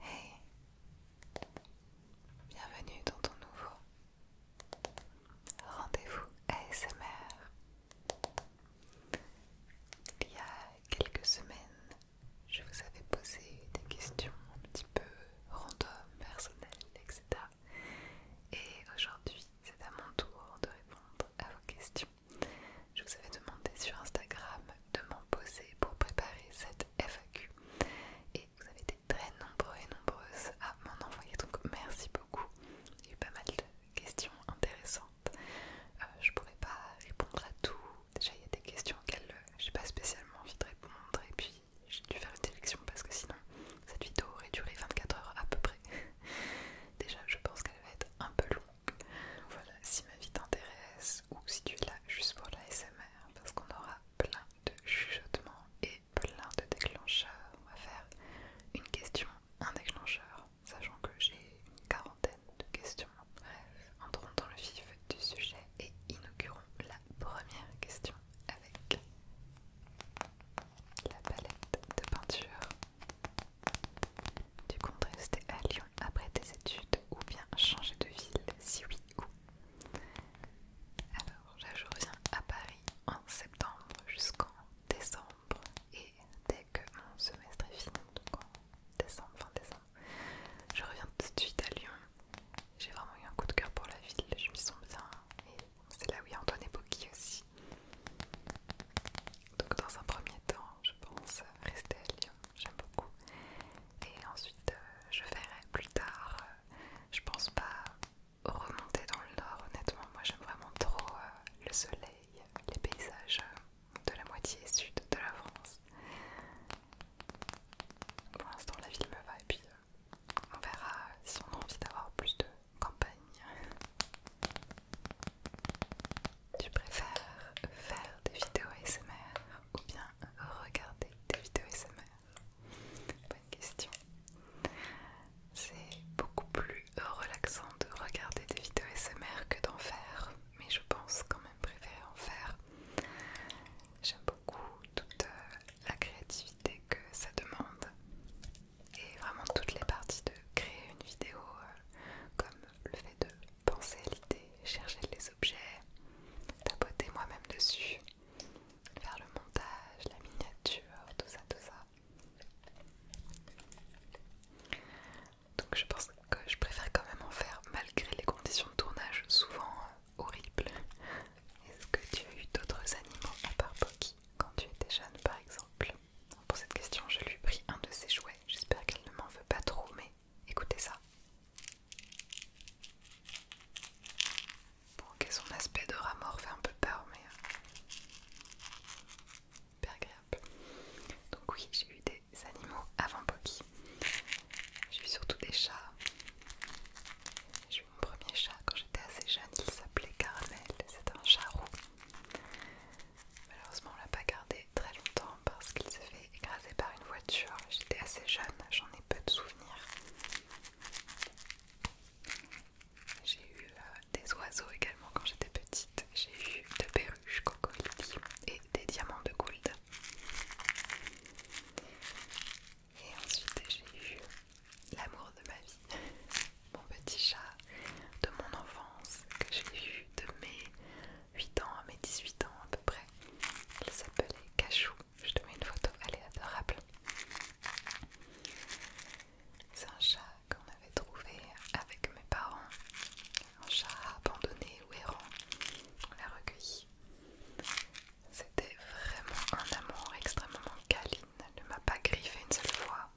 Hey Bienvenue dans ton nouveau rendez-vous ASMR. Il y a quelques semaines, je vous avais posé des questions un petit peu random, personnelles, etc. Et aujourd'hui, c'est à mon tour de répondre à vos questions je vous avais demandé sur Instagram de m'en poser pour préparer cette FAQ et vous avez été très nombreux et nombreuses à m'en envoyer donc merci beaucoup il y a eu pas mal de questions intéressantes euh, je pourrais pas répondre à tout déjà il y a des questions auxquelles n'ai euh, pas spécialement envie de répondre et puis j'ai dû faire une sélection parce que sinon cette vidéo aurait duré 24 heures à peu près déjà je pense qu'elle va être un peu longue voilà, si ma vie t'intéresse ou si tu es là juste pour la parce qu'on aura plein de chuchotements et plein de déclencheurs. On va faire une question, un déclencheur, sachant que j'ai une quarantaine de questions. Bref, entrons dans le vif du sujet et inaugurons la première question avec la palette de peinture. Tu comptes rester à Lyon après tes études ou bien changer de ville si oui ou alors je reviens à Paris en septembre jusqu'en décembre et dès que mon semestre est fini donc en décembre fin décembre je reviens tout de suite à Lyon j'ai vraiment eu un coup de cœur pour la ville je m'y sens bien et c'est là où il y a Antoine aussi donc dans un premier temps je pense rester à Lyon j'aime beaucoup. Et ensuite, euh, je verrai plus tard. Euh, je pense pas remonter dans le nord, honnêtement. Moi, j'aime vraiment trop euh, le soleil, les paysages de la moitié sud de la France. Pour l'instant, la ville me va, et puis on verra si on a envie d'avoir plus de campagne. Tu préfères faire des vidéos ASMR ou bien regarder des vidéos ASMR Bonne question. C'est beaucoup plus relaxant de regarder des vidéos ASMR que d'en faire, mais je pense quand même préférer en faire. J'aime beaucoup toute euh, la créativité que ça demande et vraiment toutes les parties de créer une vidéo, euh, comme le fait de penser à l'idée, chercher les tapoter moi-même dessus, faire le montage, la miniature, tout ça, tout ça. Donc je pense que je préfère quand même en faire malgré les conditions de tournage souvent euh, horribles. Est-ce que tu as eu d'autres animaux à part Poki quand tu étais jeune par exemple pour cette question, je lui pris un de ses jouets. J'espère qu'elle ne m'en veut pas trop, mais Écoutez ça. Bon, son aspect de rat mort fait un peu peur, mais euh, hyper agréable. Donc oui, j'ai eu des animaux avant Pocky. J'ai eu surtout des chats. J'ai eu mon premier chat quand j'étais assez jeune, il s'appelait Caramel. c'est un chat roux. Malheureusement, on l'a pas gardé très longtemps parce qu'il s'est fait écraser par une voiture. J'étais assez jeune, j'en ai peu de souvenirs. J'ai eu euh, des oiseaux également quand j'étais petite. J'ai eu de perruches cocolitis et des diamants de Gould. Et ensuite j'ai eu l'amour de ma vie, mon petit chat de mon enfance que j'ai eu de mes 8 ans à mes 18 ans à peu près. Elle s'appelait Cachou. Je te mets une photo, elle est adorable. C'est un chat qu'on avait trouvé avec mes parents. Un chat abandonné ou errant. On l'a recueilli. C'était vraiment un amour extrêmement câline. Elle ne m'a pas griffé une seule fois.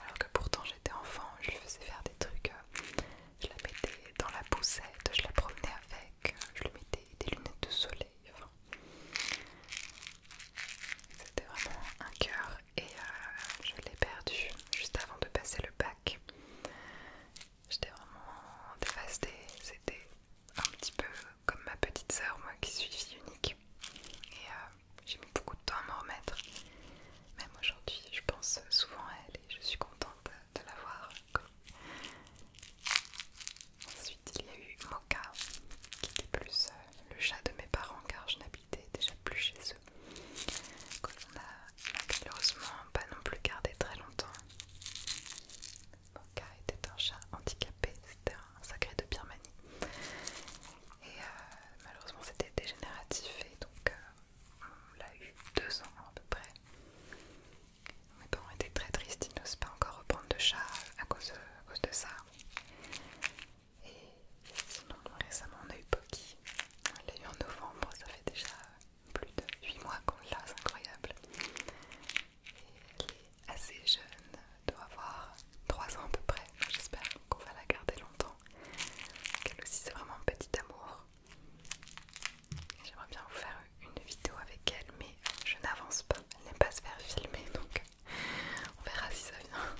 Alors que pourtant j'étais enfant, je lui faisais faire des trucs euh, je la mettais dans la poussette, je la promenais avec, je lui mettais des lunettes de soleil. C'était vraiment un cœur et euh, je l'ai perdu juste avant de passer le bac. J'étais vraiment dévastée, c'était un petit peu comme ma petite sœur, moi qui suis fille unique. Et euh, j'ai mis beaucoup de temps à m'en remettre. Même aujourd'hui, je pense souvent à elle et je suis contente de l'avoir Ensuite, il y a eu Mocha, qui était plus euh, le chat de mes parents car je n'habitais déjà plus chez eux. l'on a malheureusement pas non plus gardé très longtemps. Mocha était un chat handicapé, c'était un sacré de Birmanie. Et euh, malheureusement, c'était dégénératif et donc euh, on l'a eu deux ans à peu près. Mes parents étaient très tristes, ils n'osent pas encore reprendre de chat à cause de, ça. Et sinon, récemment, on a eu Poki. On l'a eu en novembre, ça fait déjà plus de huit mois qu'on l'a, c'est incroyable. elle est assez jeune, doit avoir trois ans à peu près. J'espère qu'on va la garder longtemps. Elle aussi, c'est vraiment un petit amour. J'aimerais bien vous faire une vidéo avec elle, mais je n'avance pas. Elle n'aime pas se faire filmer, donc on verra si ça vient.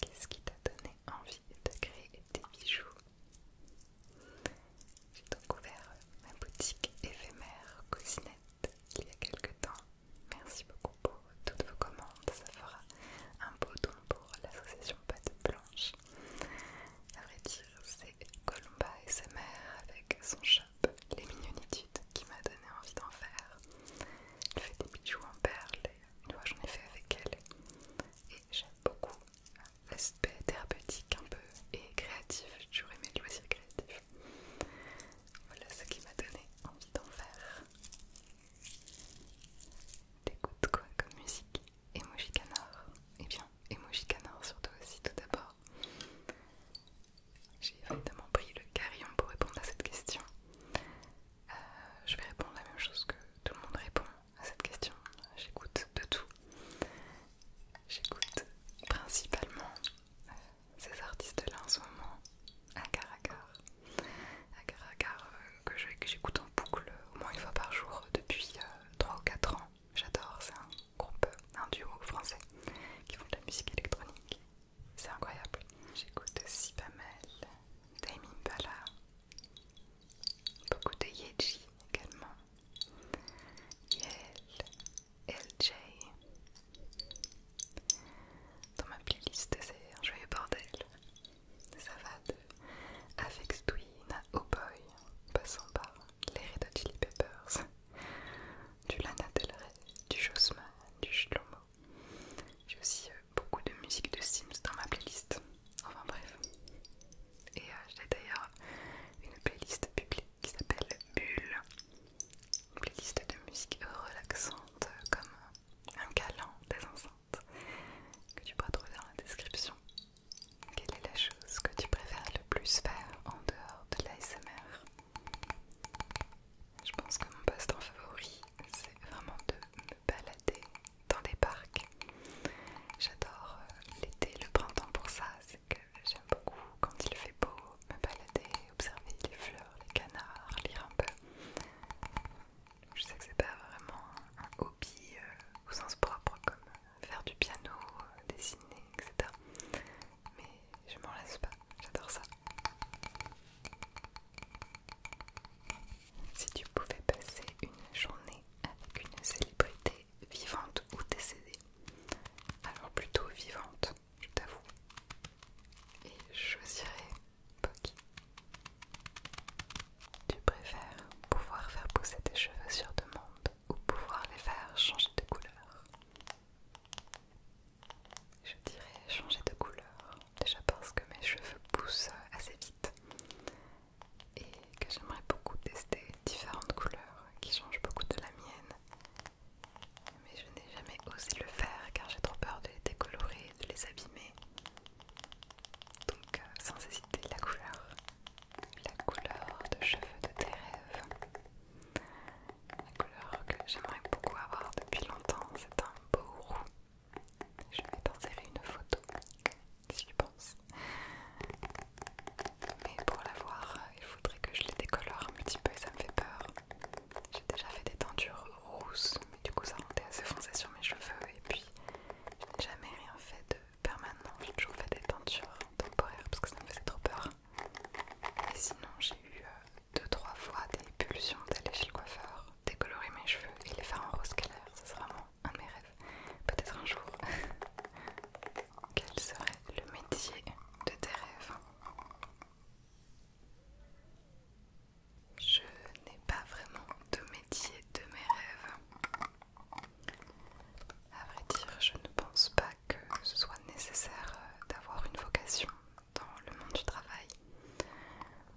Qu'est-ce qui t'a donné envie de créer des bijoux J'ai donc ouvert ma boutique éphémère Cousinette il y a quelques temps. Merci beaucoup pour toutes vos commandes, ça fera un beau don pour l'association Pâte Blanche. A vrai dire, c'est Columba et sa mère avec son shop Les Mignonitudes qui m'a donné envie d'en faire. Elle fait des bijoux en perles et une j'en ai fait avec elle. Et j'aime beaucoup l'aspect thérapeutique un peu et créatif. J'ai toujours aimé le créatif. Voilà ce qui m'a donné envie d'en faire. T'écoutes quoi comme musique Emoji Canard. Et eh bien, Emoji Canard surtout aussi tout d'abord. J'ai évidemment pris le carillon pour répondre à cette question. Euh, je vais répondre la même chose que tout le monde répond à cette question. J'écoute de tout. J'écoute principalement euh, ces artistes-là en ce moment, à Agar euh, que j'écoute en boucle au moins une fois par jour depuis 3 euh, ou 4 ans. J'adore, c'est un groupe, un duo français qui font de la musique électronique. C'est incroyable. J'écoute Sibamel, pas Bala, beaucoup de Yeji également, Yel, LJ. Dans ma playlist, c'est un joyeux bordel. Ça va de Avex Twin à Oh Boy, passant par les Red Hot Chili Peppers, du Lana Del Rey, du Jossman, du Shlomo. J'ai aussi euh, beaucoup de musique de Sims dans ma playlist. Enfin bref. Et euh, j'ai d'ailleurs une playlist publique qui s'appelle Bulle. Une playlist de musique relaxante euh, comme un galant des enceintes que tu pourras trouver dans la description. Quelle est la chose que tu préfères le plus faire en dehors de l'ASMR Je pense que mon poste en favori, c'est vraiment de me balader dans des parcs. J'adore euh, l'été, le printemps pour ça, c'est que j'aime beaucoup quand il fait beau, me balader, observer les fleurs, les canards, lire un peu. Je sais que c'est pas vraiment un euh, au sens propre, comme faire du piano, euh, dessiner, etc. Mais je m'en laisse pas, j'adore ça. Si tu pouvais passer une journée avec une célébrité vivante ou décédée, alors plutôt vivante, je t'avoue, et je choisirais Pocky. Tu préfères pouvoir faire pousser tes cheveux sur demande ou pouvoir les faire changer de couleur Je dirais changer de couleur, déjà parce que mes cheveux poussent assez vite et que j'aimerais beaucoup tester différentes couleurs qui changent beaucoup de la mienne. Mais je n'ai jamais osé le faire car j'ai trop peur de les décolorer, de les abîmer. Donc euh, sans hésiter, la couleur la couleur de cheveux de tes rêves. La couleur que j'aimerais beaucoup avoir depuis longtemps, c'est un beau roux. Je vais t'insérer une photo, si tu pense. Mais pour la voir, il faudrait que je les décolore un petit peu et ça me fait peur. J'ai déjà fait des tendures rousses, mais du coup ça rendait assez foncé sur mes cheveux et puis je n'ai jamais rien fait de permanent. J'ai toujours fait des teintures temporaires parce que ça me faisait trop peur. Et sinon, j'ai eu euh, deux trois fois des pulsions d'aller chez le coiffeur, décolorer mes cheveux et les faire en rose clair. Ça serait vraiment un de mes rêves. Peut-être un jour. Quel serait le métier de tes rêves Je n'ai pas vraiment de métier de mes rêves. À vrai dire, je ne pense pas que ce soit nécessaire euh, d'avoir une vocation dans le monde du travail.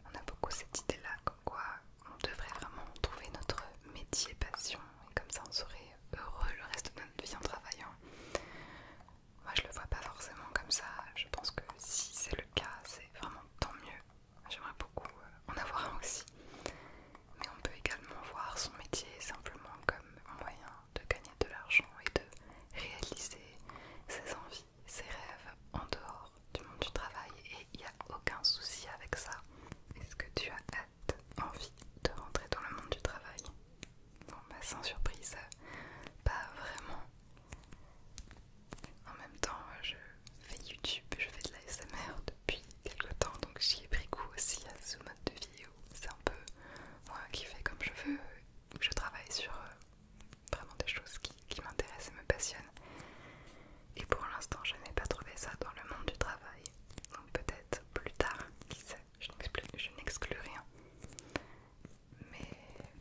On a beaucoup cette idée-là, comme quoi on devrait vraiment trouver notre métier passion et comme ça on serait heureux le reste de notre vie en travaillant. Moi je le vois pas forcément comme ça, je pense que si c'est le cas, c'est vraiment tant mieux. J'aimerais beaucoup euh, en avoir un aussi. Mais on peut également voir son métier simplement comme un moyen de gagner de l'argent et de réaliser ses envies, ses rêves en dehors du monde du travail. Et il n'y a aucun souci avec ça. Est-ce que tu as hâte, envie de rentrer dans le monde du travail Bon, bah sans surprise, euh, pas vraiment. En même temps, je fait YouTube, je fais de l'ASMR depuis quelques temps, donc j'y ai pris goût aussi à ce mode de vidéo. C'est un peu moi qui fais comme je veux, je travaille sur euh, vraiment des choses qui, m'intéressent et me passionnent. Et pour l'instant, je n'ai pas trouvé ça dans le monde du travail. Donc peut-être plus tard, qui sait, je n'exclus rien. Mais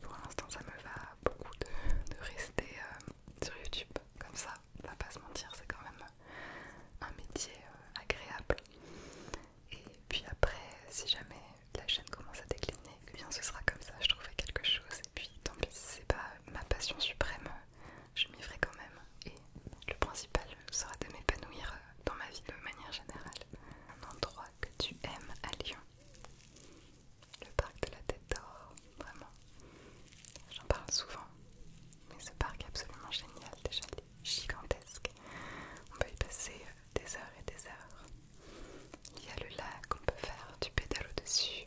pour l'instant, ça me va beaucoup de, rester euh, sur YouTube comme ça on va pas se mentir, c'est quand même un métier euh, agréable. Et puis après, si jamais la chaîne commence à décliner, eh bien ce sera comme ça, je trouverai quelque chose. Et puis tant pis, c'est pas ma passion suprême, je m'y ferai quand même. Et le principal sera de m'épanouir euh, dans ma vie de manière générale. Un endroit que tu aimes à Lyon. Le parc de la Tête d'Or vraiment. J'en parle souvent, mais ce parc est absolument génial, déjà il est gigantesque. On peut y passer euh, des heures et des heures. Il y a le lac, on peut faire du au dessus.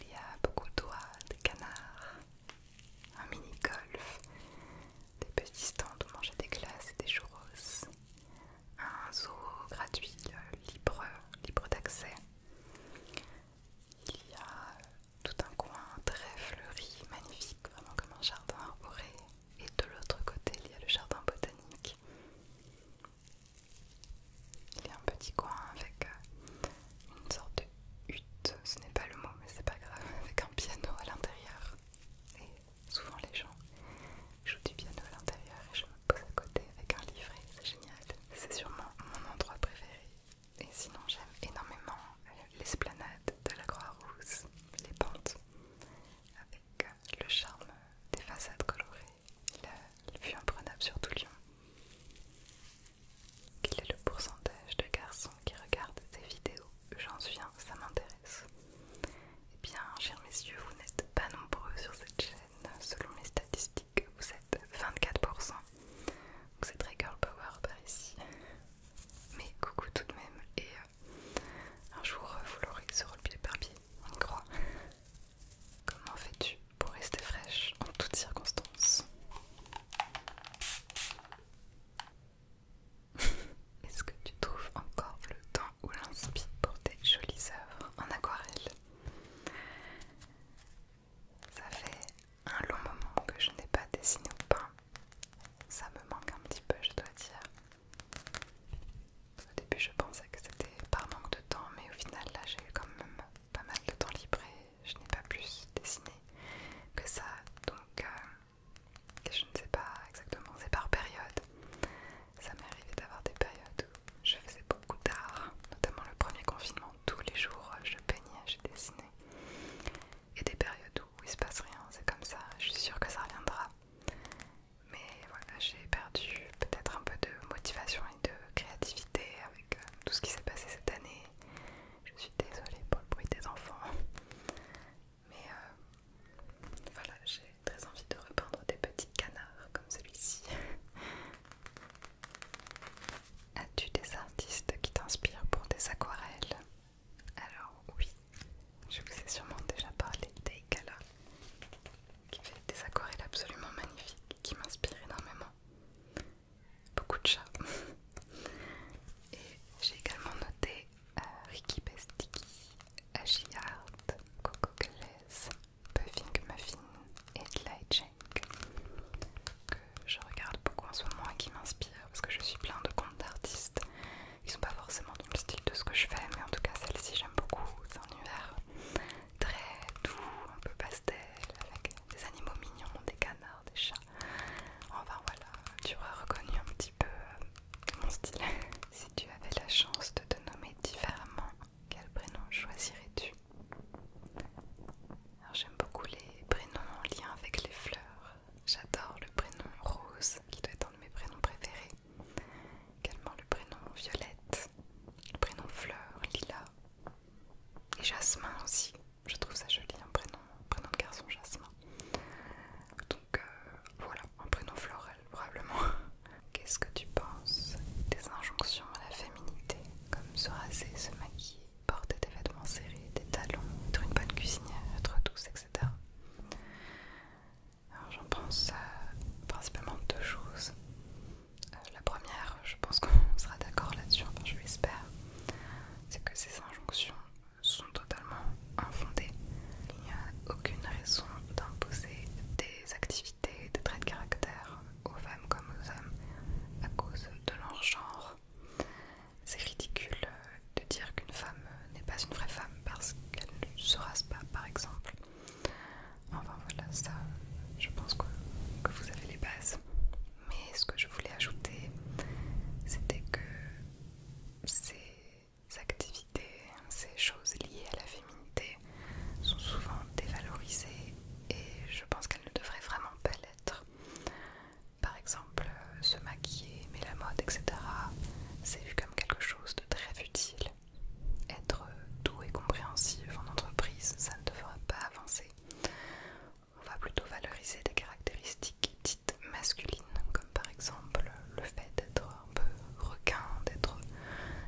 Il y a beaucoup d'oies, des canards, un mini-golf, des petits stands où manger des glaces et des churros, un zoo gratuit, euh, libre, libre d'accès. Il y a euh, tout un coin très fleuri, magnifique, vraiment comme un jardin arboré. Et de l'autre côté, il y a le jardin botanique. Il y a un petit coin avec euh, une sorte de hutte, ce n'est pas le mot, mais c'est pas grave, avec un piano à l'intérieur. Et souvent les gens jouent du piano à l'intérieur et je me pose à côté avec un livret, c'est génial. C'est sûrement mon endroit préféré et sinon, j'aime énormément euh, l'esplanade de la Croix-Rousse, les pentes, avec euh, le charme des façades colorées, la vue imprenable sur tout Lyon. Quel est le pourcentage de garçons qui regardent ces vidéos J'en viens, ça m'intéresse. Eh bien, chers messieurs, vous n'êtes pas nombreux sur cette chaîne, selon les statistiques que vous êtes, 24%. Donc c'est très girl power par ici. Mais coucou tout de même, et euh, un jour euh, vous l'aurez le pied par pied, on y croit. Comment fais-tu pour rester fraîche en toutes circonstances Est-ce que tu trouves encore le temps ou l'inspire pour tes jolies œuvres en aquarelle ça fait un long moment que je n'ai pas dessiné au pain. Ça me manque un petit peu, je dois dire. Au début, je pensais que c'était par manque de temps, mais au final, là, j'ai eu quand même pas mal de temps libre et je n'ai pas plus dessiné que ça. Donc, euh, je ne sais pas exactement, c'est par période. Ça m'est arrivé d'avoir des périodes où je faisais beaucoup d'art, notamment le premier confinement tous les jours je peignais, je dessinais. Et des périodes où il se passe rien, c'est comme ça, je suis sûre que ça reviendra. Mais voilà, j'ai perdu peut-être un peu de motivation et de créativité avec euh, tout ce qui s'est passé cette année. Je suis désolée pour le bruit des enfants. Mais euh, voilà, j'ai très envie de reprendre des petits canards comme celui-ci. As-tu des artistes qui t'inspirent pour des aquarelles Alors oui, je vous ai sûrement déjà parlé d'Eikala, qui fait des aquarelles absolument magnifiques, qui m'inspirent énormément. Beaucoup de chats. Et j'ai également noté euh, Ricky Besticky, Ashi Coco Gales, Puffing Muffin et Light je regarde beaucoup en ce moment et qui m'inspire parce que je suis plein de comptes d'artistes qui sont pas forcément dans le style de ce que je fais, mais en tout cas celle-ci j'aime beaucoup. C'est un univers très doux, un peu pastel, avec des animaux mignons, des canards, des chats. Enfin voilà, tu auras reconnu un petit peu euh, mon style. si tu avais la chance de te nommer différemment, quel prénom choisirais-tu J'aime beaucoup les prénoms en lien avec les fleurs. J'adore le prénom rose, qui doit être un de mes prénoms préférés. Également le prénom violette, le prénom fleur, lila. Et jasmin aussi. Je trouve ça joli, un prénom, prénom de garçon jasmin. Donc euh, voilà, un prénom floral probablement. Qu'est-ce que tu penses des injonctions à la féminité, comme se raser, se maquiller porter des vêtements serrés, des talons, être une bonne cuisinière, être douce, etc. Alors j'en pense euh, principalement deux choses. Euh, la première, je pense qu'on sera d'accord là-dessus, enfin je l'espère, c'est que ces injonctions sont totalement infondées. Il n'y a aucune raison d'imposer des activités, des traits de caractère aux femmes comme aux hommes à cause de leur genre c'est ridicule euh, de dire qu'une femme euh, n'est pas une vraie femme parce qu'elle ne se rase pas, par exemple. Enfin voilà, ça, je pense que vous avez les bases. Mais ce que je voulais ajouter, c'était que ces activités, ces choses liées à la féminité sont souvent dévalorisées et je pense qu'elles ne devraient vraiment pas l'être. Par exemple, euh, se maquiller, aimer la mode, etc. C'est vu comme quelque chose de très futile. Être euh, doux et compréhensif en entreprise, ça ne fera pas avancer. On va plutôt valoriser des caractéristiques dites masculines, comme par exemple euh, le fait d'être un peu requin, d'être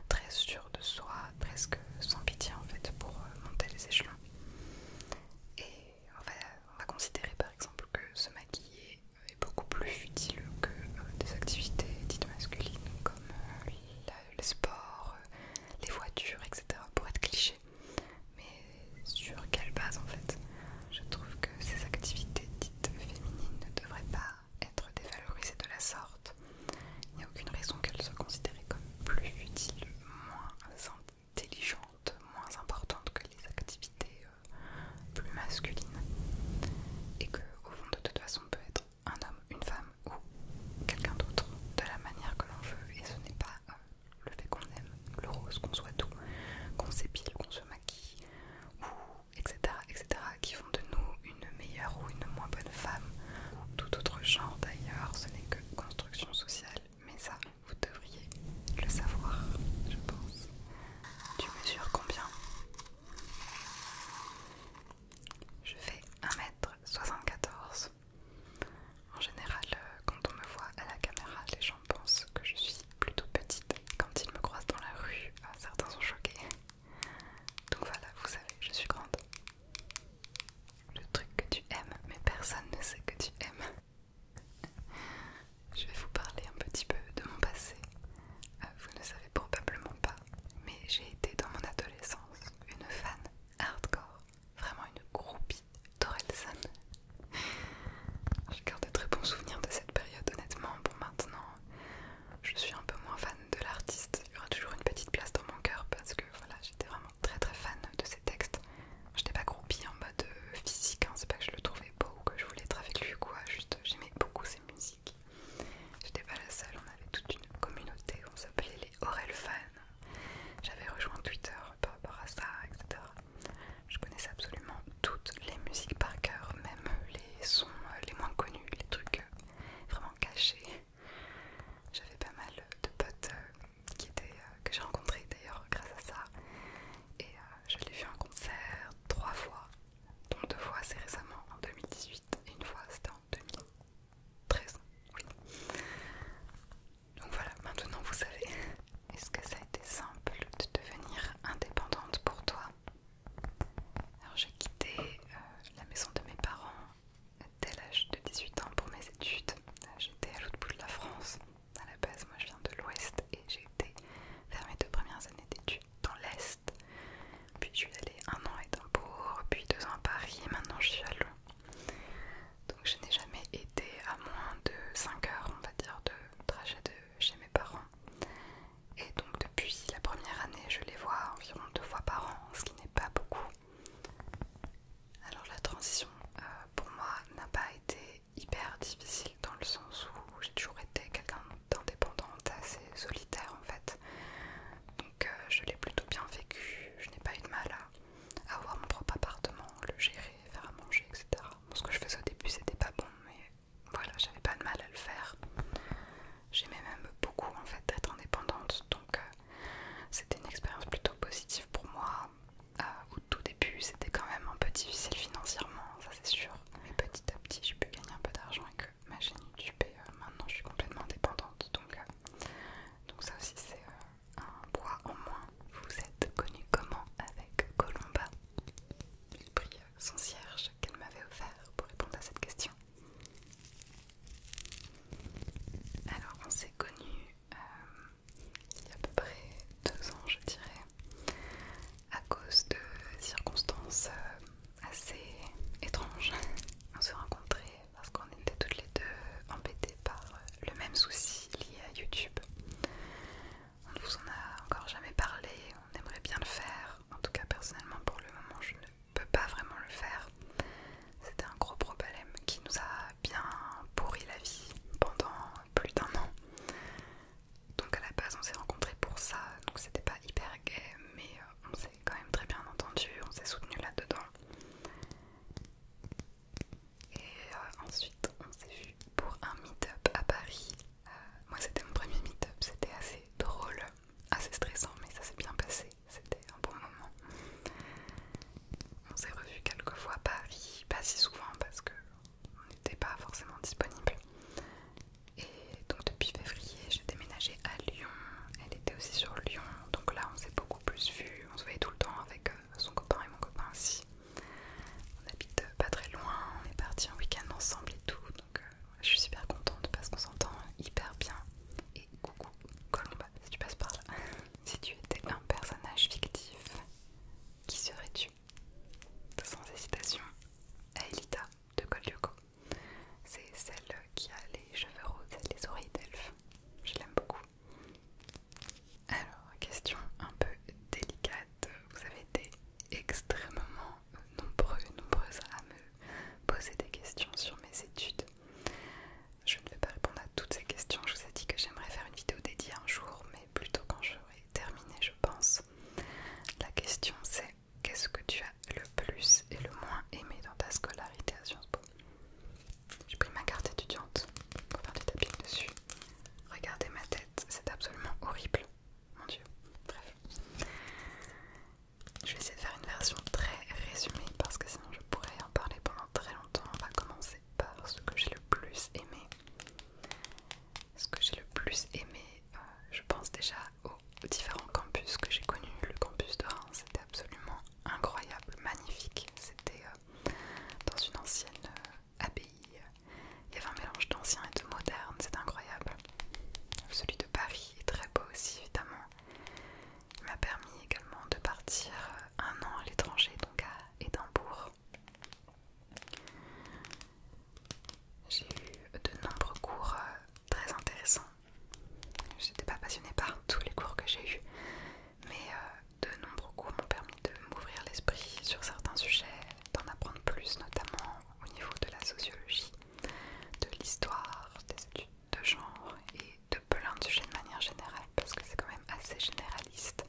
très sûr de soi, presque sans pitié en fait, pour monter les échelons. Et on va, considérer par exemple que se maquiller est beaucoup plus futile que euh, des activités dites masculines comme euh, le sport, euh, les voitures, etc. pour être cliché. Mais sur quelle base en fait Je trouve que ces activités dites féminines ne devraient pas être dévalorisées de la sorte. Il n'y a aucune raison qu'elles soient considérées comme plus futiles, moins intelligente, moins importante que les activités euh, plus masculines. Et que, au fond, de toute façon, peut être un homme, une femme ou quelqu'un d'autre de la manière que l'on veut. Et ce n'est pas euh, le fait qu'on aime le rose, qu'on soit doux, qu'on s'épile, qu'on se maquille, ou etc., etc., qui font de nous une meilleure ou une moins bonne femme, tout autre genre d'ailleurs. Ce n'est que construction sociale mais ça, vous devriez le savoir, je pense. Tu mesures combien Je fais 1m74. En général, euh, quand on me voit à la caméra, les gens pensent que je suis plutôt petite. Quand ils me croisent dans la rue, euh, certains sont choqués. Donc voilà, vous savez, je suis grande le truc que tu aimes, mais personne ne sait que tu aimes. Je vais vous parler un petit peu de mon passé. Euh, vous ne savez probablement pas, mais j'ai été dans mon adolescence une fan hardcore, vraiment une groupie d'Orelson. Je garde de très bons souvenirs de cette période, honnêtement. Bon, maintenant, je suis un peu moins fan de l'artiste. Il y aura toujours une petite place dans mon cœur parce que voilà, j'étais vraiment très très fan de ses textes. j'étais pas groupie en mode euh, physique, hein, c'est pas que je le trouvais beau ou que je voulais être avec lui ou quoi, juste j'aimais beaucoup ses musiques. J'étais pas la seule, on avait toute une communauté, on s'appelait les Aurel fans. J'avais rejoint Twitter par rapport à ça, etc. Je connaissais absolument toutes les musiques par cœur, même les sons euh, les moins connus, les trucs euh, vraiment cachés. J'avais pas mal de potes était, euh, que j'ai rencontré d'ailleurs grâce à ça. Et euh, je l'ai vu en concert trois fois, dont deux fois c'est récemment en 2018 et une fois c'était en 2013. Donc voilà, maintenant vous savez. Est-ce que ça a été simple de devenir indépendante pour toi Alors j'ai quitté euh, la maison de mes parents dès l'âge de 18 ans pour mes études. Euh, j'étais à l'autre bout de la France. À la base, moi je viens de l'Ouest et j'ai été faire mes deux premières années d'études dans l'Est. Puis je suis allée un an à Édimbourg, puis deux ans à Paris, et maintenant je suis à Lyon. Donc je n'ai jamais été à moins de 5 heures, on va dire, de trajet de chez mes parents. Et donc depuis la première année, je les vois environ deux fois par an, ce qui n'est pas beaucoup. Alors la transition euh, pour moi n'a pas été hyper difficile dans le sens où j'ai toujours été quelqu'un d'indépendante, assez solitaire en fait. Donc euh, je l'ai plutôt bien vécu, je n'ai pas eu de mal à avoir mon propre appartement, le gérer, faire à manger, etc. ce que je faisais au début c'était pas bon, mais voilà, j'avais pas de mal à le faire. J'aimais même beaucoup en fait d'être indépendante, donc euh, c'était une expérience plutôt positive pour moi euh, au tout début c'était quand même un peu difficile financièrement, ça c'est sûr. Mais petit à petit j'ai pu gagner un peu d'argent avec euh, ma chaîne YouTube et euh, maintenant je suis complètement indépendante. Donc, ça aussi c'est un poids en moins. Vous êtes connu comment avec Colomba Il prit son cierge qu'elle m'avait offert pour répondre à cette question. Alors on s'est connus euh, il y a à peu près deux ans, je dirais, à cause de circonstances euh, assez étranges. On se rencontrait parce qu'on était toutes les deux embêtées par euh, le même souci lié à YouTube. On ne vous en a encore jamais parlé, on aimerait bien le faire. En tout cas, personnellement, pour le moment, je ne peux pas vraiment le faire. C'était un gros problème qui nous a bien pourri la vie pendant plus d'un an. Donc à la base on s'est rencontrés pour ça, donc c'était pas hyper gay, mais euh, on s'est quand même très bien entendu, on s'est soutenu là-dedans. Et euh, ensuite on s'est vu pour un meet-up à Paris. Euh, moi c'était mon premier meet-up, c'était assez drôle, assez stressant, mais ça s'est bien passé, c'était un bon moment on s'est revu quelques fois, Paris, pas si souvent parce que on n'était pas forcément disponible. Et donc depuis février, j'ai déménagé à Lyon. Elle était aussi sur Lyon, donc là on s'est beaucoup plus vu. On se voyait tout le temps avec euh, son copain et mon copain aussi. On habite euh, pas très loin, on est parti en week-end ensemble et tout. Donc euh, je suis super contente parce qu'on s'entend hyper bien. Et coucou Colomba, si tu passes par là. si tu étais un personnage fictif, qui serais-tu Sans hésitation, Aelita de Colyoko. C'est celle qui a les cheveux roses les oreilles d'elfe. Je l'aime beaucoup. Alors, question un peu délicate. Vous avez été extrêmement nombreux, nombreuses à me poser des questions sur mes études. Je ne vais pas répondre à toutes ces questions. Je vous ai dit que j'aimerais faire une vidéo dédiée un jour, mais plutôt quand j'aurai terminé, je pense. La question c'est qu'est-ce que tu as le plus et le moins aimé dans ta scolarité à Sciences Po J'ai pris ma carte étudiante pour faire des tapis dessus. Regardez ma tête, c'est absolument horrible. Mon dieu, bref. Je vais essayer de faire une version très résumée parce que sinon je pourrais en parler pendant très longtemps. On va commencer par ce que j'ai le plus aimé. Ce que j'ai le plus aimé, euh, je pense déjà aux différents campus que j'ai connus. Le campus de Reims, c'était absolument incroyable, magnifique. C'était euh, dans une ancienne euh, abbaye. Il y avait un mélange d'ancien et de moderne, c'est incroyable. Celui de Paris est très beau aussi, évidemment. Il m'a permis également de partir un an à l'étranger, donc à et bourg. J'ai eu de nombreux cours euh, très intéressants. Je n'étais pas passionnée par tous les cours que j'ai eus, mais euh, de nombreux cours m'ont permis de m'ouvrir l'esprit sur certains sujets, d'en apprendre plus, notamment au niveau de la sociologie, de l'histoire, des études de genre et de plein de sujets de manière générale parce que c'est quand même assez généraliste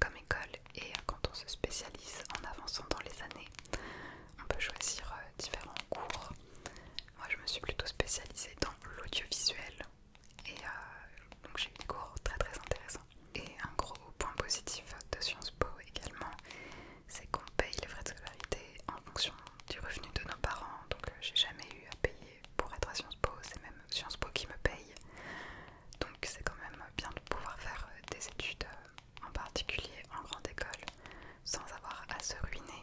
comme école et quand on se spécialise en avançant dans les années, on peut choisir euh, différents cours. Moi je me suis plutôt spécialisée dans l'audiovisuel et euh, donc j'ai eu des cours très très intéressants. Et un gros point positif de Sciences Po également, c'est qu'on paye les frais de scolarité en fonction du revenu de nos parents, donc euh, j'ai jamais eu à payer pour être à Sciences Po, c'est même Sciences Po qui me paye. Donc c'est quand même bien de pouvoir faire euh, des études, euh, en particulier en grande école, sans avoir à se ruiner.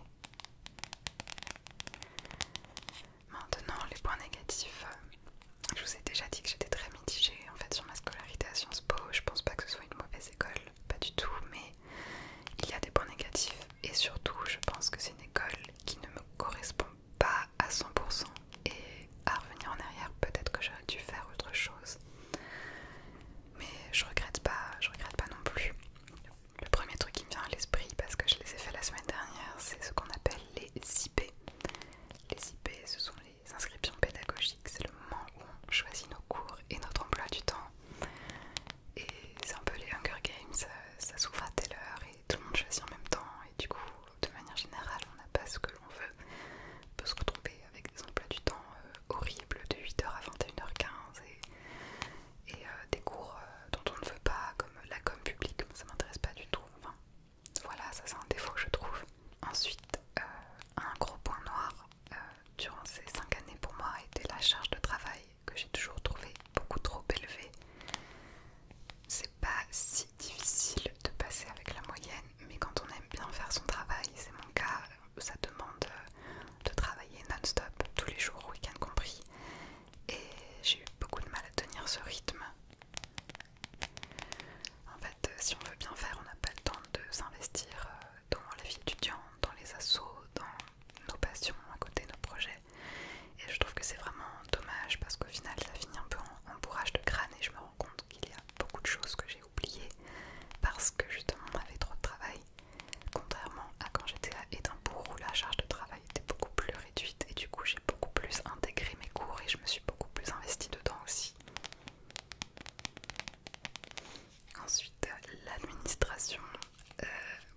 Maintenant, les points négatifs. Euh, je vous ai déjà dit que j'étais très mitigée en fait sur ma scolarité à Sciences Po. Je pense pas que ce soit une mauvaise école, pas du tout, mais il y a des points négatifs et surtout, je pense que c'est une école qui ne me correspond pas pas à 100% et à revenir en arrière, peut-être que j'aurais dû faire autre chose. Mais je regrette pas, je regrette pas non plus. Le premier truc qui me vient à l'esprit, parce que je les ai fait la semaine dernière, c'est ce qu'on appelle les IP. Les IP, ce sont les inscriptions pédagogiques, c'est le moment où on choisit nos cours et notre emploi du temps. Et c'est un peu les Hunger Games, ça s'ouvre à telle heure tout le monde choisit en même temps et du coup de manière générale on n'a pas ce que l'on veut. On peut se avec des emplois du temps euh, horribles de 8h à 21h15 et, euh, des cours euh, dont on ne veut pas comme la com publique, ça m'intéresse pas du tout. voilà, ça c'est un défaut je trouve. Ensuite, un gros point noir durant ces 5 années pour moi était la charge de travail que j'ai toujours trouvé beaucoup trop élevée. C'est pas si difficile de passer avec la moyenne, mais quand on aime bien faire son travail, c'est mon cas, ça demande euh, de travailler non-stop, tous les jours, week-end compris. Et j'ai eu beaucoup de mal à tenir ce rythme. En fait, euh, si on veut bien faire, on n'a pas le temps de s'investir euh, dans la vie étudiante, dans les assauts dans nos passions à côté, de nos projets. Et je trouve que c'est vraiment dommage parce qu'au final, ça finit un peu en, bourrage de crâne et je me rends compte qu'il y a beaucoup de choses que j'ai oubliées parce que justement on avait trop de travail. Contrairement à quand j'étais à Édimbourg où la charge de travail était beaucoup plus réduite et du coup j'ai beaucoup plus intégré mes cours et je me suis beaucoup plus investie dedans aussi. Ensuite, l'administration. Euh,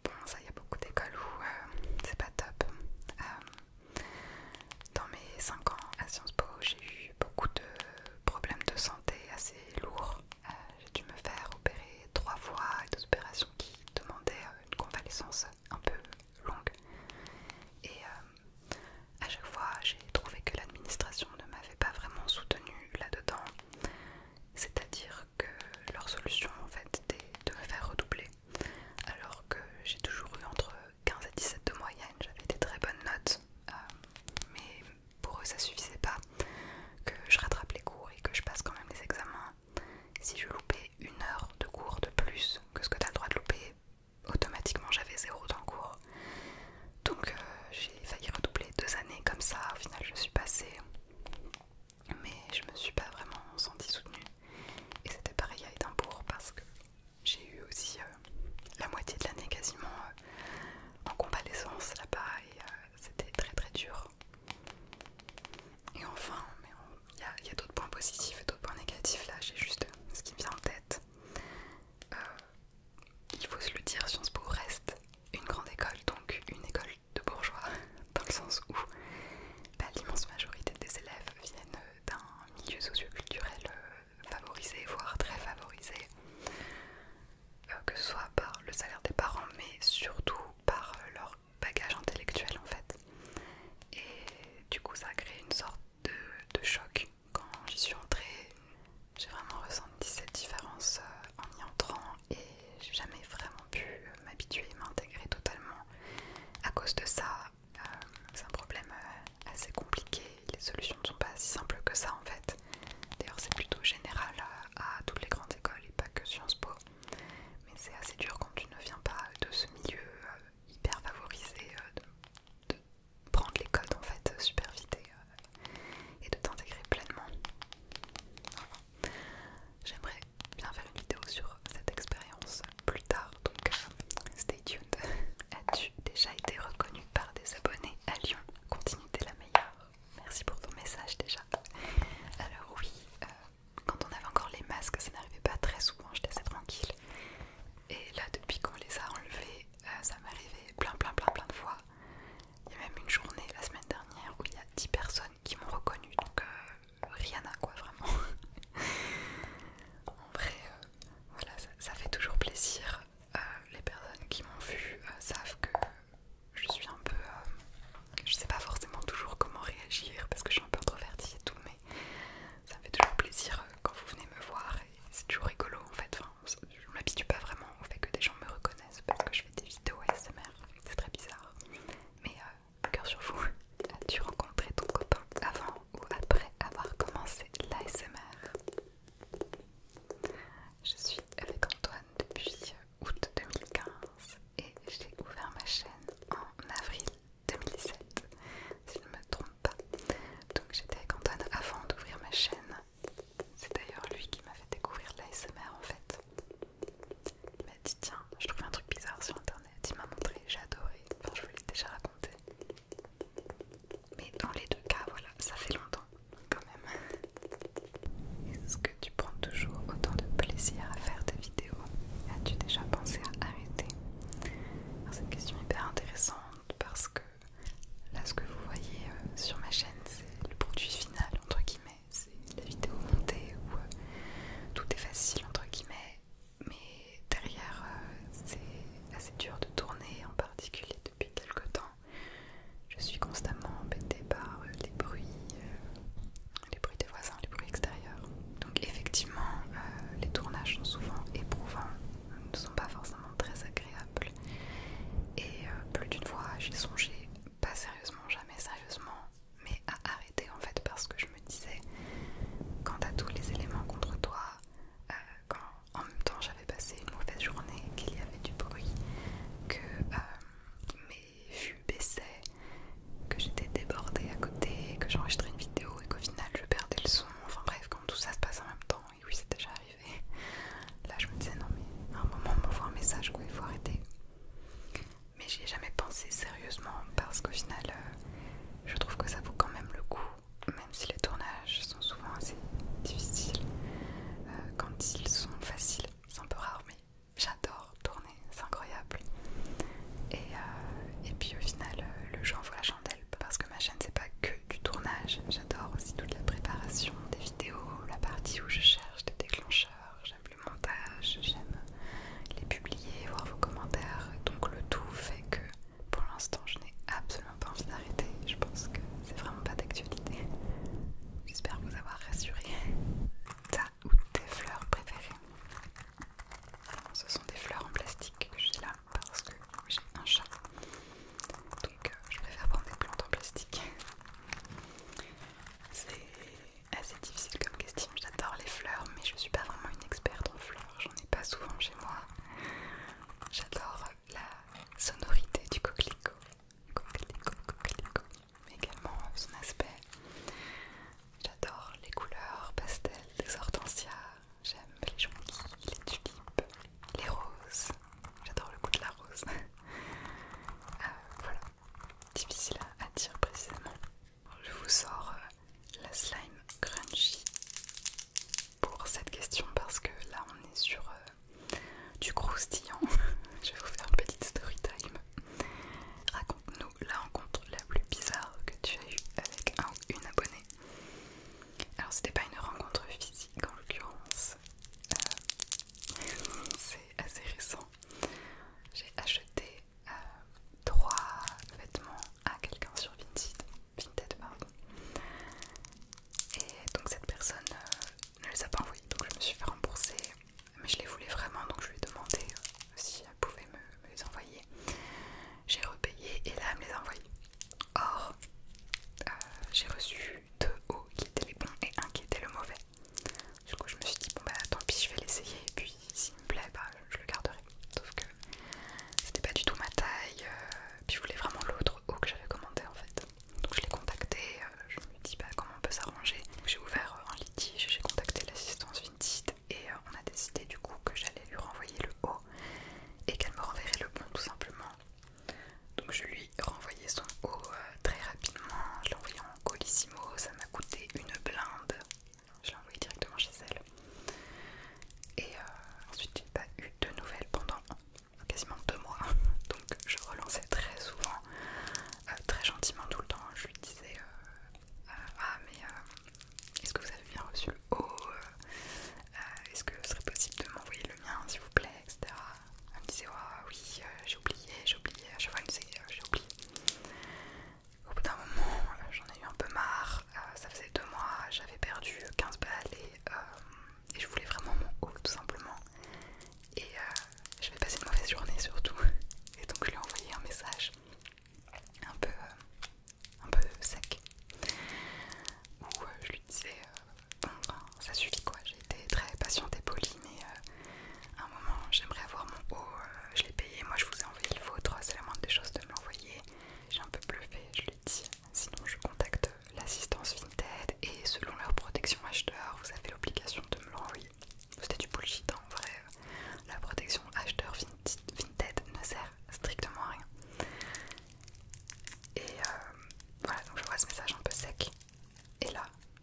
bon, ça, il y a beaucoup d'écoles où euh, c'est pas top. Euh, dans mes 5 ans à Sciences Po, j'ai eu beaucoup de problèmes de santé assez lourds. Euh, j'ai dû me faire opérer trois fois et des opérations qui demandaient euh, une convalescence un peu longue. Et euh, à chaque fois, j'ai trouvé que l'administration ne m'avait pas vraiment soutenue là-dedans. C'est-à-dire que leur solution, en fait, était de me faire redoubler alors que j'ai toujours eu entre 15 et 17 de moyenne, j'avais des très bonnes notes, euh, mais pour eux ça suffisait pas que je rattrape les cours et que je passe quand même les examens. Si je loupais une heure de cours de plus que ce que t'as le droit de louper, automatiquement j'avais zéro dans le cours. Donc euh, j'ai failli redoubler deux années comme ça, au final je suis passée, mais je me suis pas vraiment sentie soutenue. Et c'était pareil à Édimbourg parce que j'ai eu aussi euh, la moitié de l'année quasiment euh, en convalescence là-bas et euh, c'était très très dur. Et enfin, il y a, d'autres points positifs et d'autres points négatifs là, j'ai juste ce qui me vient en tête. il faut se le dire, Sciences Po reste une grande école, donc une école de bourgeois, dans le sens où bah, l'immense majorité des élèves viennent d'un milieu socio-culturel euh, favorisé, voire très favorisé, euh, que ce soit par le salaire des parents, mais surtout par euh, leur bagage intellectuel en fait. Et du coup, ça a créé une sorte de, choc quand j'y suis entrée. J'ai vraiment ressenti cette différence en y entrant et j'ai jamais vraiment pu m'habituer, m'intégrer totalement. À cause de ça, euh, c'est un problème euh, assez compliqué, les solutions ne sont pas si simples que ça en fait. D'ailleurs c'est plutôt général à toutes les grandes écoles et pas que Sciences Po. Mais c'est assez dur quand tu ne viens pas de ce milieu euh, hyper favorisé, de, prendre les codes en fait super vite et, de t'intégrer pleinement. J'aimerais bien faire une vidéo sur cette expérience plus tard, donc euh, stay tuned. As-tu déjà été reconnu par des abonnés à Lyon Continue, t'es la meilleure. Merci pour ton message déjà. Alors oui, euh, quand on avait encore les masques, ça n'arrivait pas très souvent, j'étais assez tranquille. Et là, depuis qu'on les a enlevés, euh, ça m'arrivait plein plein plein plein de fois. Il y a même une journée la semaine dernière où il y a 10 personnes qui m'ont reconnu, donc à quoi vraiment en vrai euh, voilà ça, fait toujours plaisir euh, les personnes qui m'ont vu euh, savent que je suis un peu je sais pas forcément toujours comment réagir parce que je suis un peu introvertie et tout mais ça fait toujours plaisir quand vous venez me voir et c'est toujours rigolo en fait je m'habitue pas vraiment au fait que des gens me reconnaissent parce que je fais des vidéos ASMR c'est très bizarre mais cœur sur vous. As-tu rencontré ton copain avant ou après avoir commencé l'ASMR Je suis avec Antoine depuis août 2015 et j'ai ouvert ma chaîne en avril 2017, si je ne me trompe pas. Donc j'étais avec Antoine avant d'ouvrir ma chaîne. C'est d'ailleurs lui qui m'a fait découvrir l'ASMR en fait. Il m'a dit tiens, je trouve un truc bizarre sur internet. Tu m'a montré, j'ai adoré, enfin je vous l'ai déjà raconté. Mais dans les deux cas, voilà, ça fait longtemps quand même. Est-ce que tu prends toujours autant de plaisir à faire des vidéos As-tu déjà pensé à arrêter C'est une question hyper intéressante parce que là ce que vous voyez euh, sur ma chaîne c'est le produit final entre guillemets, c'est la vidéo montée où euh, tout est facile entre guillemets mais derrière euh, c'est assez dur de tourner, en particulier depuis quelques temps. Je suis constamment embêtée par euh, les bruits, euh, les bruits des voisins, les bruits extérieurs. Donc effectivement, les tournages sont souvent éprouvants, ne sont pas forcément très agréables. Et plus d'une fois, j'ai songé, pas sérieusement, jamais sérieusement, mais à arrêter en fait parce que je me disais quand t'as tous les éléments contre toi, euh, quand en même temps j'avais passé une mauvaise journée, qu'il y avait du bruit, que euh, mes vues baissaient, que j'étais débordée à côté, que j'enregistrais une vidéo et qu'au final je perdais le son, enfin bref quand tout ça se passe en même temps, et oui c'est déjà arrivé, là je me disais non mais à un moment on m'envoie un message quoi, il faut arrêter mais j'y ai jamais pensé sérieusement parce qu'au final euh, je trouve que ça vaut quand même le coup, même si les tournages sont souvent assez difficiles. Euh, quand ils sont faciles, c'est un peu rare, mais j'adore tourner, c'est incroyable. Et, euh, et puis au final, euh, le jeu envoie la chandelle parce que ma chaîne, c'est pas que du tournage, j'adore aussi toute la préparation des vidéos, la partie où je cherche des déclencheurs, j'aime le montage, j'aime les publier, voir vos commentaires. Donc le tout fait que pour l'instant je n'ai absolument pas envie d'arrêter. Je pense que c'est vraiment pas d'actualité. J'espère vous avoir rassuré. Ta ou tes fleurs préférées. ce sont des fleurs en plastique que j'ai là parce que j'ai un chat. Donc euh, je préfère prendre des plantes en plastique. C'est assez difficile comme question. J'adore les fleurs, mais je suis pas vraiment une experte en fleurs j'en ai pas souvent chez moi. J'adore la sonorité du coquelicot, coquelicot, coquelicot, mais également son aspect. J'adore les couleurs pastel des hortensias, j'aime les jonquilles, les tulipes, les roses. J'adore le goût de la rose. Euh, voilà, difficile à dire précisément. Je vous sors euh, la slime crunchy pour cette question parce que là on est sur euh, du croustillant. Je vais vous faire une petite story time. Raconte-nous la rencontre la plus bizarre que tu as eue avec un ou une abonnée. Alors c'était pas une rencontre physique en l'occurrence, euh, c'est assez récent. J'ai acheté euh, trois vêtements à quelqu'un sur Vinted, et donc cette personne euh, ne les a pas envoyés donc je me suis fait rembourser mais je les voulais vraiment donc je lui ai demandé euh, si elle pouvait me, les envoyer j'ai repayé et là elle me les a envoyés or j'ai reçu deux hauts qui étaient les bons et un qui était le mauvais du coup je me suis dit bon bah tant pis je vais l'essayer et puis s'il me plaît, je le garderai. Sauf que c'était pas du tout ma taille, euh, puis je voulais vraiment l'autre haut que j'avais commandé en fait. Donc je l'ai contacté, euh, je me dis pas bah, comment on peut s'arranger. J'ai ouvert euh, un litige, j'ai contacté l'assistance Vinted et on a décidé du coup que j'allais lui renvoyer le haut et qu'elle me renverrait le bon tout simplement. Donc je lui renvoyais son haut très rapidement, je l'ai envoyé en colissimo, ça m'a coûté une blinde, je l'ai envoyé directement chez elle. Et euh, ensuite, j'ai pas eu de nouvelles pendant quasiment deux mois. Donc, je relançais très souvent, euh, très gentiment tout le temps. Je lui disais euh, Ah, mais est-ce que vous avez bien reçu le haut Est-ce que ce serait possible de m'envoyer le mien, s'il vous plaît Elle me disait oui, j'ai oublié, j'ai oublié. je vois une série, J'ai oublié. Au bout d'un moment, euh, j'en ai eu un peu marre. Euh, ça faisait deux mois, j'avais perdu 15 balles euh, et, je voulais vraiment mon haut tout simplement. Et j'avais passé une mauvaise journée surtout. Et donc je lui ai envoyé un message un peu, un peu sec où je lui disais Bon, ben, ça suffit quoi, j'ai été très patiente et polie, mais à un moment j'aimerais avoir mon haut, je l'ai payé, moi je vous ai envoyé le vôtre, c'est la moindre des choses de me l'envoyer. J'ai un peu bluffé, je lui dit. Sinon, je contacte l'assistance Vinted et selon leur protection acheteur, vous avez l'obligation de me l'envoyer. C'était du bullshit hein, en vrai. La protection acheteur Vinted ne sert strictement à rien. Et euh, voilà, donc je vois ce message un peu sec. Et là,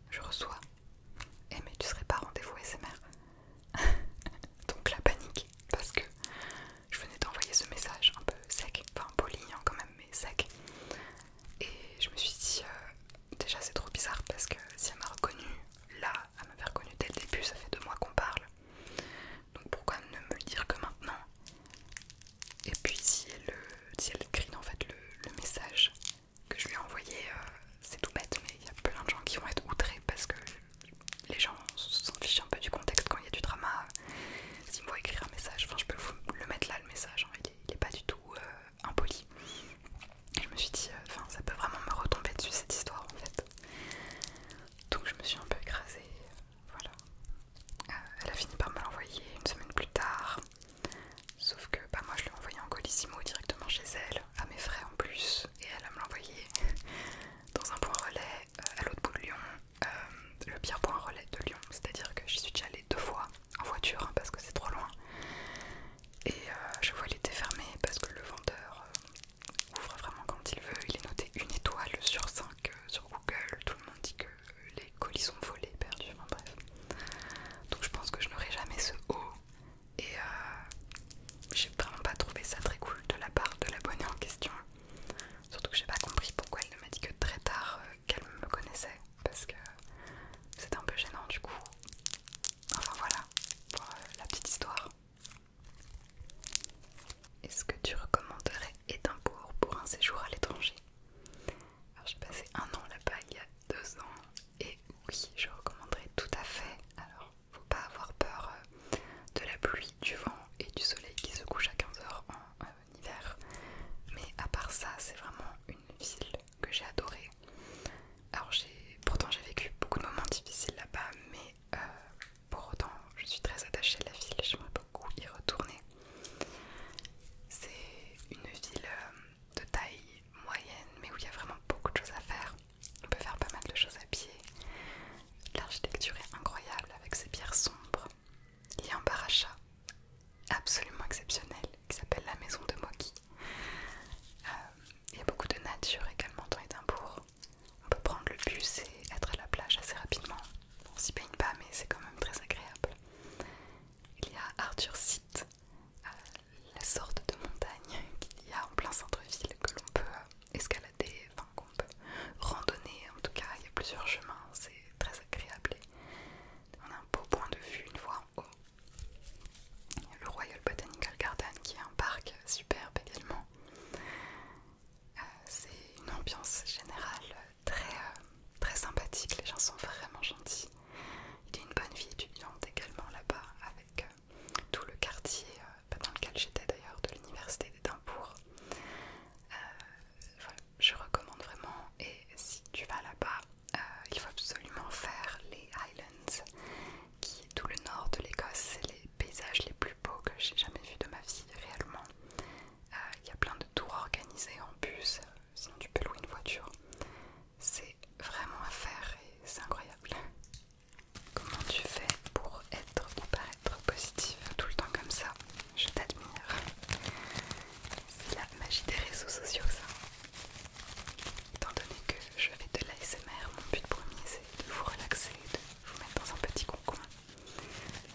je reçois. Eh, mais tu serais pas rendez-vous SMR Donc la panique, parce que je venais d'envoyer ce message un peu sec, enfin poli quand même, mais sec. Et je me suis dit, euh, déjà c'est trop bizarre parce que si elle m'a reconnu là, elle m'avait reconnu dès le début, ça fait deux mois qu'on parle. Donc pourquoi ne me le dire que maintenant Et puis si elle, si en fait le, message que je lui ai envoyé, euh, c'est tout bête, mais il y a plein de gens qui vont être outrés parce que les gens s'en fichent un peu du contexte quand il y a du drama. S'ils me écrire un message, enfin je peux vous le mettre là le message, hein, il, est, pas du tout euh, impoli. je me suis dit, euh, ça peut vraiment me retomber dessus cette histoire en fait. Donc je me suis un peu écrasée, voilà. Euh, elle a fini par me l'envoyer une semaine plus tard. Sauf que bah, moi je l'ai envoyé en colissimo directement chez elle, à mes frais en plus, et elle a me l'envoyé dans un point relais euh, à l'autre bout de Lyon, euh, le pire point relais de Lyon, c'est-à-dire que j'y suis déjà allée deux fois en voiture hein, parce que c'est trop loin. Et je euh, vois il était fermé parce que le vendeur ouvre vraiment quand il veut. Il est noté une étoile sur 5 sur Google. Tout le monde dit que les colis sont volés, perdus, bref. Donc je pense que je n'aurai jamais ce haut. Et, j'ai vraiment pas trouvé ça très cool de la part de l'abonné en question. Surtout que j'ai pas compris pourquoi elle ne m'a dit que très tard euh, qu'elle me connaissait. Parce que c'était un peu gênant du coup. Enfin voilà, pour euh, la petite histoire. Est-ce que tu recommanderais Édimbourg pour un séjour à l'étranger Alors j'ai passé un an là-bas il y a deux ans et oui, je recommanderais tout à fait. Alors faut pas avoir peur euh, de la pluie, du vent et du soleil qui se couche à 15 heures en, euh, hiver. Mais à part ça, c'est vraiment une ville que j'ai adorée. Alors j'ai, pourtant j'ai vécu beaucoup de moments difficiles là-bas, mais euh, pour autant je suis très attachée à la ville. J'aimerais beaucoup y retourner. C'est une ville de taille moyenne, mais où il y a vraiment beaucoup de choses à faire. On peut faire pas mal de choses à pied. L'architecture est incroyable avec ses pierres sombres. Il y a un parachat absolument exceptionnel qui s'appelle la maison de Moki. Euh, il y a beaucoup de nature également dans Édimbourg. On peut prendre le bus et être à la plage assez rapidement. On s'y baigne pas, mais c'est quand même très agréable. Il y a Arthur Site, euh, la sorte de montagne qu'il y a en plein centre-ville que l'on peut euh, escalader des enfin qu'on peut randonner en tout cas, il y a plusieurs chemins, c'est très agréable et on a un beau point de vue une fois en haut. Le Royal Botanical Garden qui est un parc superbe également. Euh, c'est une ambiance générale très, euh, très sympathique, les gens sont vraiment gentils. Il y a une bonne vie étudiante également là-bas avec euh, euh, tout le quartier euh, dans lequel j'étais d'ailleurs de l'université d'Édimbourg. Euh, je recommande vraiment et si tu vas là-bas, il faut absolument faire les Highlands, qui est tout le nord de l'Écosse, c'est les paysages les plus beaux que j'ai jamais vus de ma vie réellement. Il y a plein de tours organisés en bus, sinon tu peux louer une voiture. C'est vraiment à faire et c'est incroyable. Comment tu fais pour être ou paraître positive tout le temps comme ça Je t'admire. C'est la magie des réseaux sociaux ça. Étant donné que je fais de l'ASMR, mon but premier c'est de vous relaxer, de vous mettre dans un petit concombre.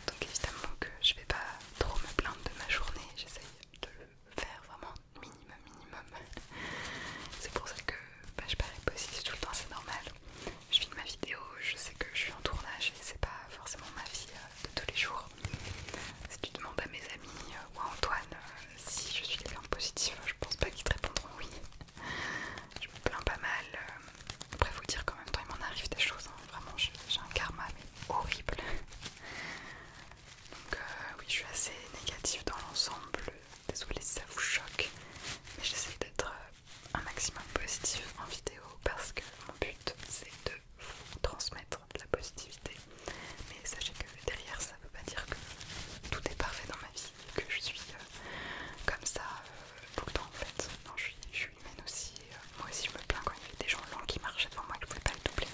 Donc évidemment que je vais pas trop me plaindre de ma journée, j'essaye de le faire vraiment minimum minimum. C'est pour ça que bah, je parais positive tout le temps, c'est normal je filme ma vidéo, je sais que je suis en tournage et c'est pas forcément ma vie euh, de tous les jours. Si tu demandes à mes amis euh, ou à Antoine euh, si je suis quelqu'un de positif, je pense pas qu'ils te répondront oui. Je me plains pas mal. après, vous dire qu'en même temps, il m'en arrive des choses. Hein. Vraiment, j'ai un karma horrible. Donc, oui, je suis assez négative dans l'ensemble. Désolée si ça vous choque, mais j'essaie d'être un maximum positif en vidéo parce que mon but c'est de vous transmettre de la positivité. Mais sachez que derrière ça veut pas dire que tout est parfait dans ma vie, que je suis euh, comme ça euh, tout le temps en fait. Non, je suis, humaine aussi. Euh, moi aussi je me plains quand il y a des gens lents qui marchent devant moi ne je pouvais pas le doubler.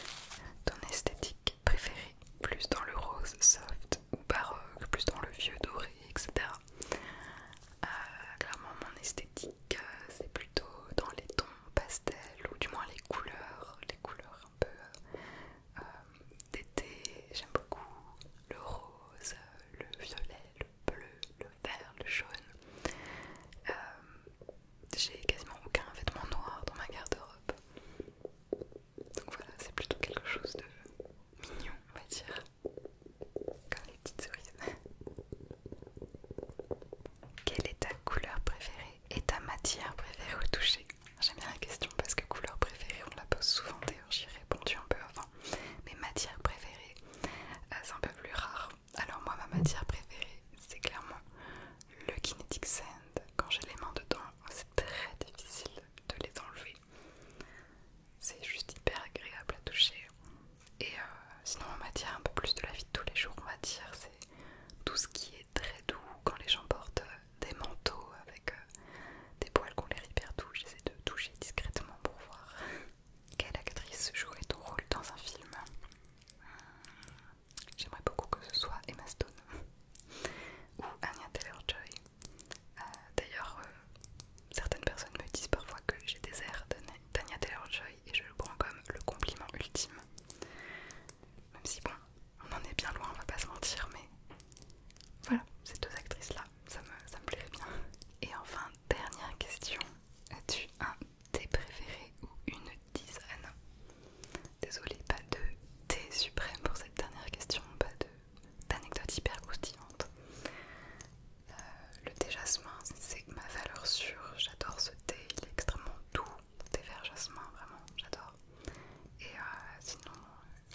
Ton esthétique préférée, plus dans le rose soft ou baroque, plus dans le vieux doré, etc. Euh, clairement, mon esthétique, euh, c'est plutôt dans les tons pastels ou du moins les couleurs, les couleurs un peu euh, d'été. J'aime beaucoup le rose, le violet, le bleu, le vert, le jaune. J'ai quasiment aucun vêtement noir dans ma garde-robe. Donc voilà, c'est plutôt quelque chose de mignon, on va dire les Quelle est ta couleur préférée et ta matière préférée au toucher J'aime bien la question parce que couleur préférée, on la pose souvent d'ailleurs, j'y ai répondu un peu avant. Mais matière préférée, euh, c'est un peu plus rare. Alors moi, ma matière préférée, c'est clairement le kinetic sand. Quand j'ai les mains dedans, c'est très difficile de les enlever. C'est juste hyper agréable à toucher. Et euh, sinon, en matière un peu plus de la vie de tous les jours, on va dire, c'est tout ce qui est très doux. Quand les gens portent euh, des manteaux avec euh, des poils qu'on les hyper touche. j'essaie de toucher discrètement pour voir quelle actrice jouerait ton rôle dans un film. J'aimerais beaucoup que ce soit Emma Stone ou Anya Taylor-Joy. Euh, d'ailleurs, euh, certaines personnes me disent parfois que j'ai des airs de Tanya Taylor-Joy et je le prends comme le compliment ultime. Même si bon, on en est bien loin, on va pas se mentir, mais voilà, ces deux actrices-là, ça me, ça plairait bien. Et enfin, dernière question, as-tu un thé préféré ou une dizaine Désolée, pas de thé suprême pour cette dernière question, pas de d'anecdotes hyper croustillantes. Euh, le thé jasmin, c'est ma valeur sûre. J'adore ce thé, il est extrêmement doux. Thé vert jasmin, vraiment, j'adore. Et euh, sinon,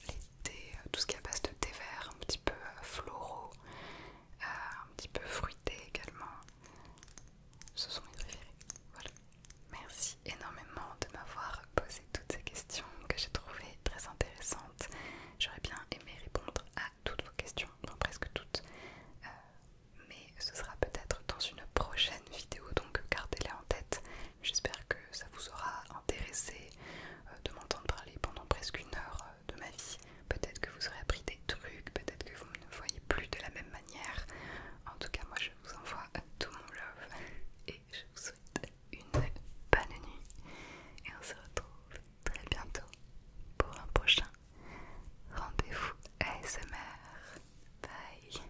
les thés, euh, tout ce qui est à base de thé vert, un petit peu floraux, un petit peu fruité également, ce sont mes préférés. Voilà. Merci énormément de m'avoir posé toutes ces questions que j'ai trouvées très intéressantes. J'aurais bien aimé répondre à toutes vos questions, non presque toutes, euh, mais ce sera peut-être dans une prochaine vidéo, donc gardez-les en tête. J'espère que ça vous aura intéressé euh, de m'entendre parler pendant presque une heure euh, de ma vie. Peut-être que vous aurez appris des trucs, peut-être que vous ne me voyez plus de la même manière. En tout cas, moi je vous envoie tout mon love et je vous souhaite une bonne nuit et on se retrouve très bientôt pour un prochain rendez-vous ASMR. Bye